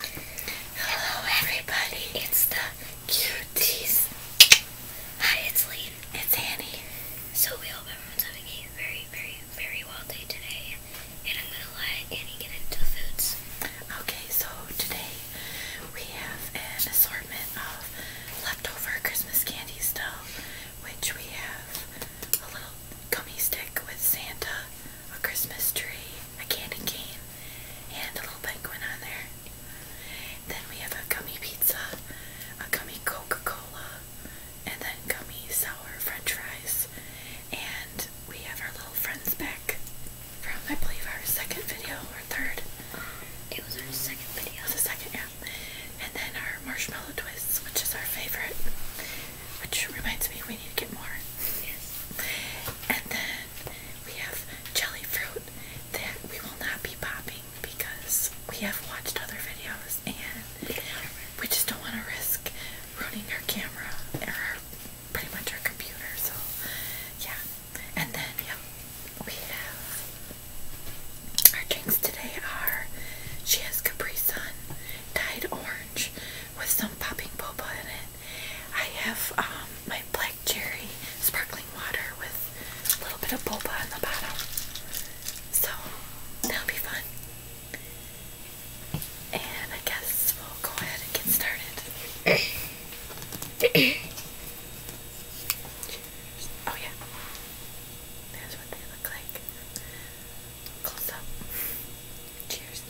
Hello everybody, it's the cuties. Hi, it's Lee. It's Annie. So we hope everyone's having a very, very, very wild day today. And I'm gonna let Annie get into the foods. Okay, so today we have an assortment of leftover Christmas candy stuff, which we have a little gummy stick with Santa, a Christmas tree, a candy cane, and a little penguin on there. Then we have a gummy pizza, a gummy Coca-Cola, and then gummy sour french fries. And we have our little friends back from, I believe, our second video or third. It was our second video. the second, yeah. And then our marshmallow twists, which is our favorite. Which reminds me, we need to get more. Yes. And then we have jelly fruit that we will not be popping because we have watched other videos and we just don't want to risk ruining our camera or our, pretty much our computer. So yeah. And then yeah, we have our drinks today are she has Capri Sun dyed orange with some popping poppa in it. I have um, my black cherry sparkling water with a little bit of boba on the bottom. So that'll be fun. And I guess we'll go ahead and get started. oh yeah. There's what they look like. Close up. Cheers.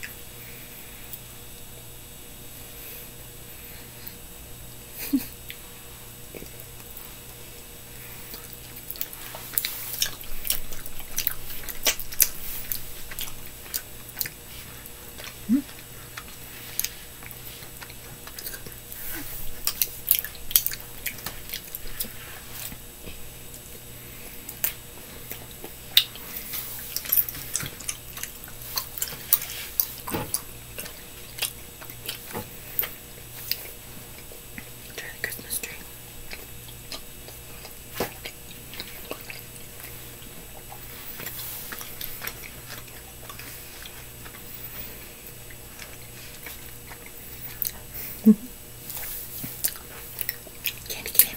mm. Try the Christmas tree. Candy cane.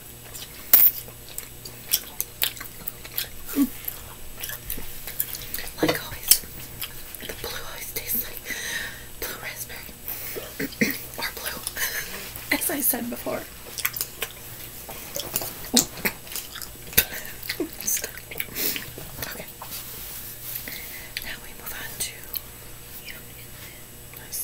Like always, the blue always tastes like blue raspberry or blue, as I said before. okay. Now we move on to. Nice.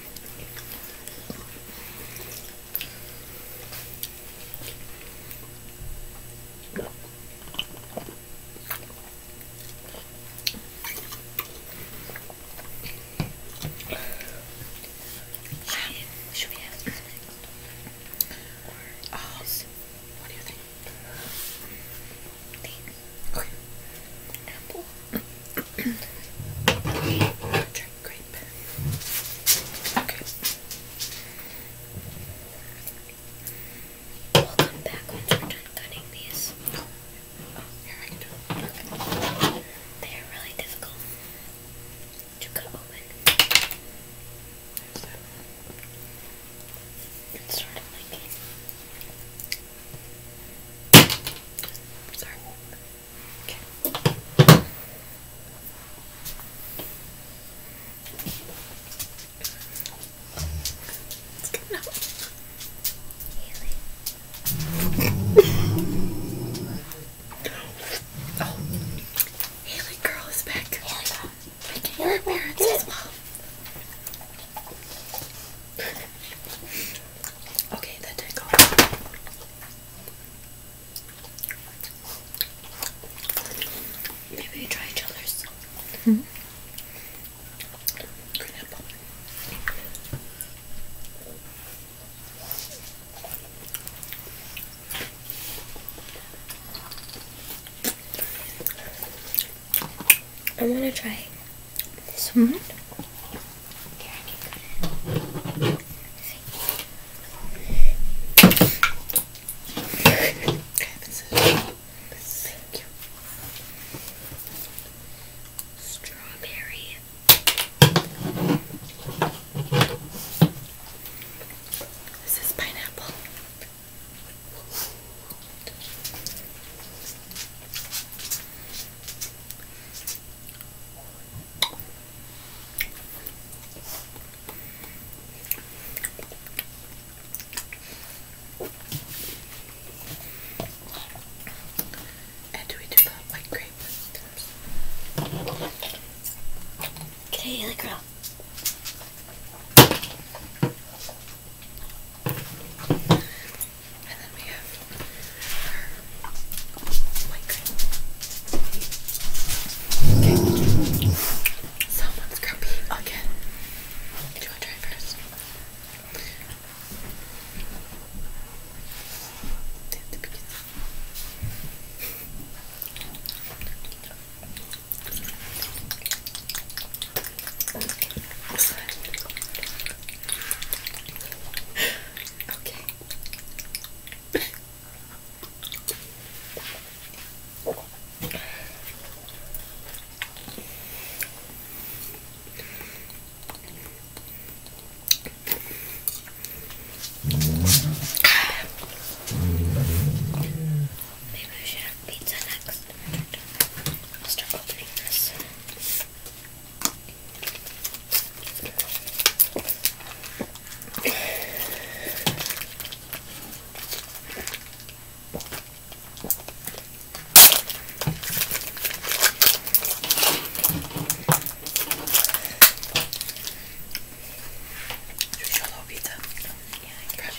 Should we have this next? Or oh, what do you think? Think. Okay. Apple. Drink grape. Okay. We'll come back once we're done cutting these. Oh, here I can do it. They are really difficult to cut open. It's sort of like Sorry. Okay. It's good enough. Haley. oh. Haley girl is back. Haley. Making your appearance as okay, that did go. Maybe try each other's. -hmm. Green apple. I to try this one. this is Strawberry. This is pineapple. And do we do the white grape? Canadian girl. And then we have our white cream. Okay. Someone's grumpy again. Do you want to try first? I'm sorry. Okay. Maybe we should pizza next. I'll start opening this. Should we pizza? Yeah, I can.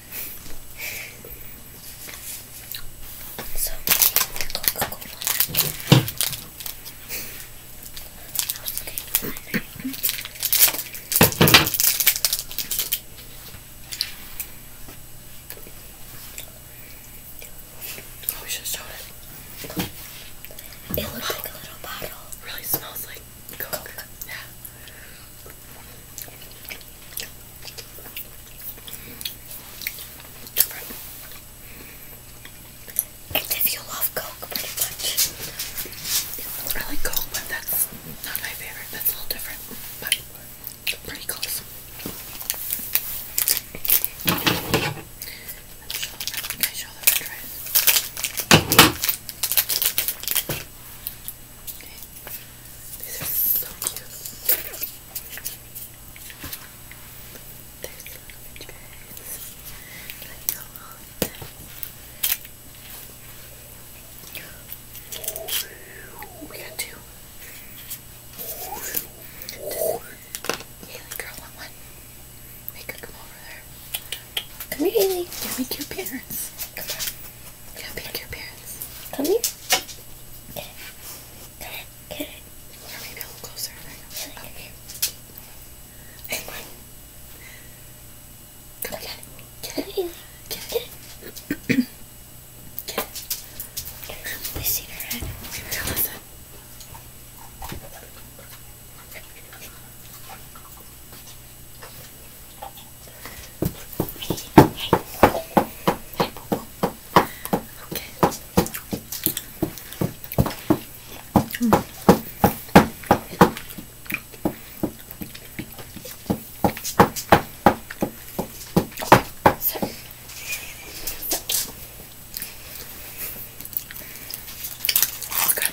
Oh, we should show it. It looks like a little bottle. Really smells like Coke. Coke. Yeah. It's if you love Coke, pretty much. I like Coke, but that's not my favorite. That's a little different, but pretty close. Can I show them these are so cute. There's a lot of Like a oh. We got two. Haley girl want Make her come over there. Come here, Haley. Give me two parents. Go pick your parents. Come here. Get it. Get it. Get it. Or maybe a little closer. Right? Like okay. Hey, Come get it. Get it. Get it. Get it. get it. We seen her head. Maybe go listen. Okay. Mm. So. Okay.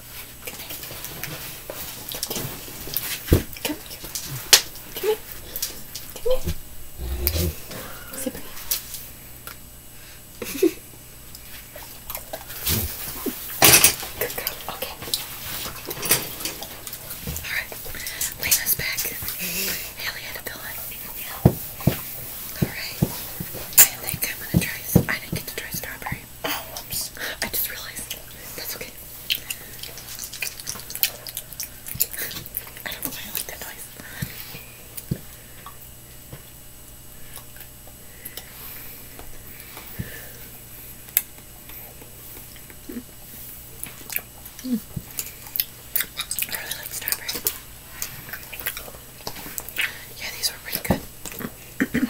Come here. Come here. Come here. Come here. Come here. Sit Good girl. Okay. Alright. Lena's back. Haley had a pillow. Yeah. Alright. I think I'm gonna try I didn't get to try strawberry. Oh, I just realized. That's okay. I don't know why I like that noise. I really like strawberry. Yeah, these were pretty good.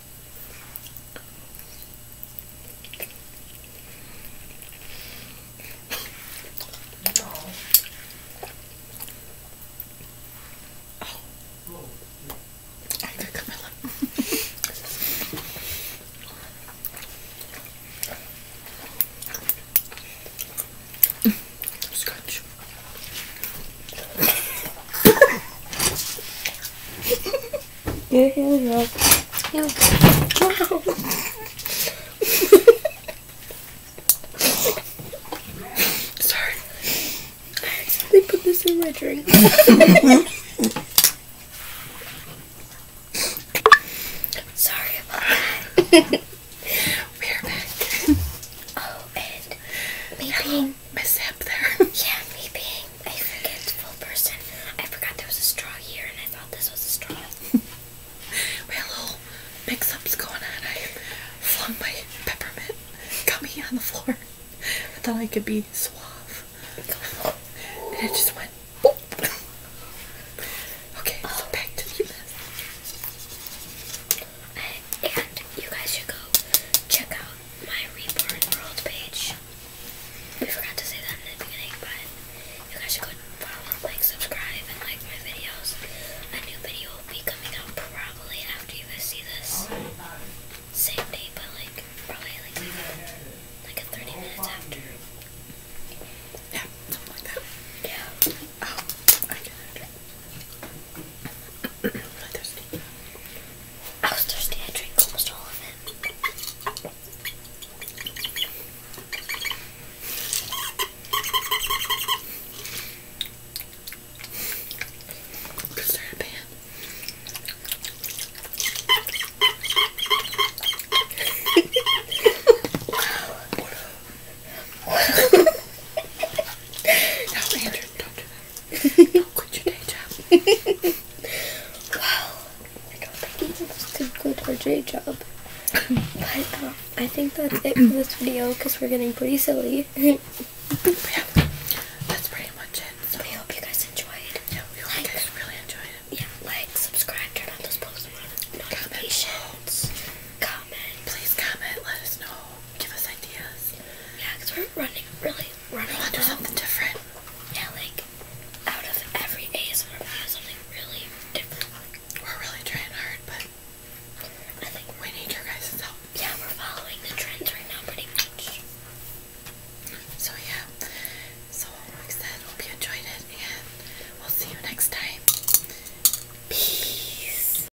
No. Oh. I'm good, Camilla. Scratch. Here, here we go. Here we go. Sorry. I accidentally put this in my drink. Sorry We're back. Oh, and maybe up there. yeah, me being a forgetful person. I forgot there was a straw here and I thought this was a straw. my little mix up's going on. I flung my peppermint got me on the floor. I thought I could be suave. and it just went boop. okay, oh. so back to the list. And you guys should go check out my Reborn World page. We forgot to say that in the beginning, but you guys should go and follow, like, subscribe, and like my videos. A new video will be coming out probably after you guys see this. Same day, but like, probably like, like, a 30 minutes after. Yeah, something like that. Yeah. Oh, I get it i was thirsty. I drank almost all of it. there pan? wow. wow. Andrew, don't do that do your day job. well, I don't think either of us could quit our day job. but um, I think that's it for this video because we're getting pretty silly. that's pretty much it. So we hope you guys enjoyed. Yeah, we hope you guys really enjoyed it. Yeah, like, subscribe, turn on those post notifications. Comment. Please comment. Let us know give us ideas. Yeah, because we're running, really running. We want to do something different. Yeah, like, out of every A's, we're ASMR video, something really different. We're really trying hard, but I think we need your guys' help. Yeah, we're following the trends right now pretty much. So, yeah. So, like I said, hope you enjoyed it, and we'll see you next time. Peace.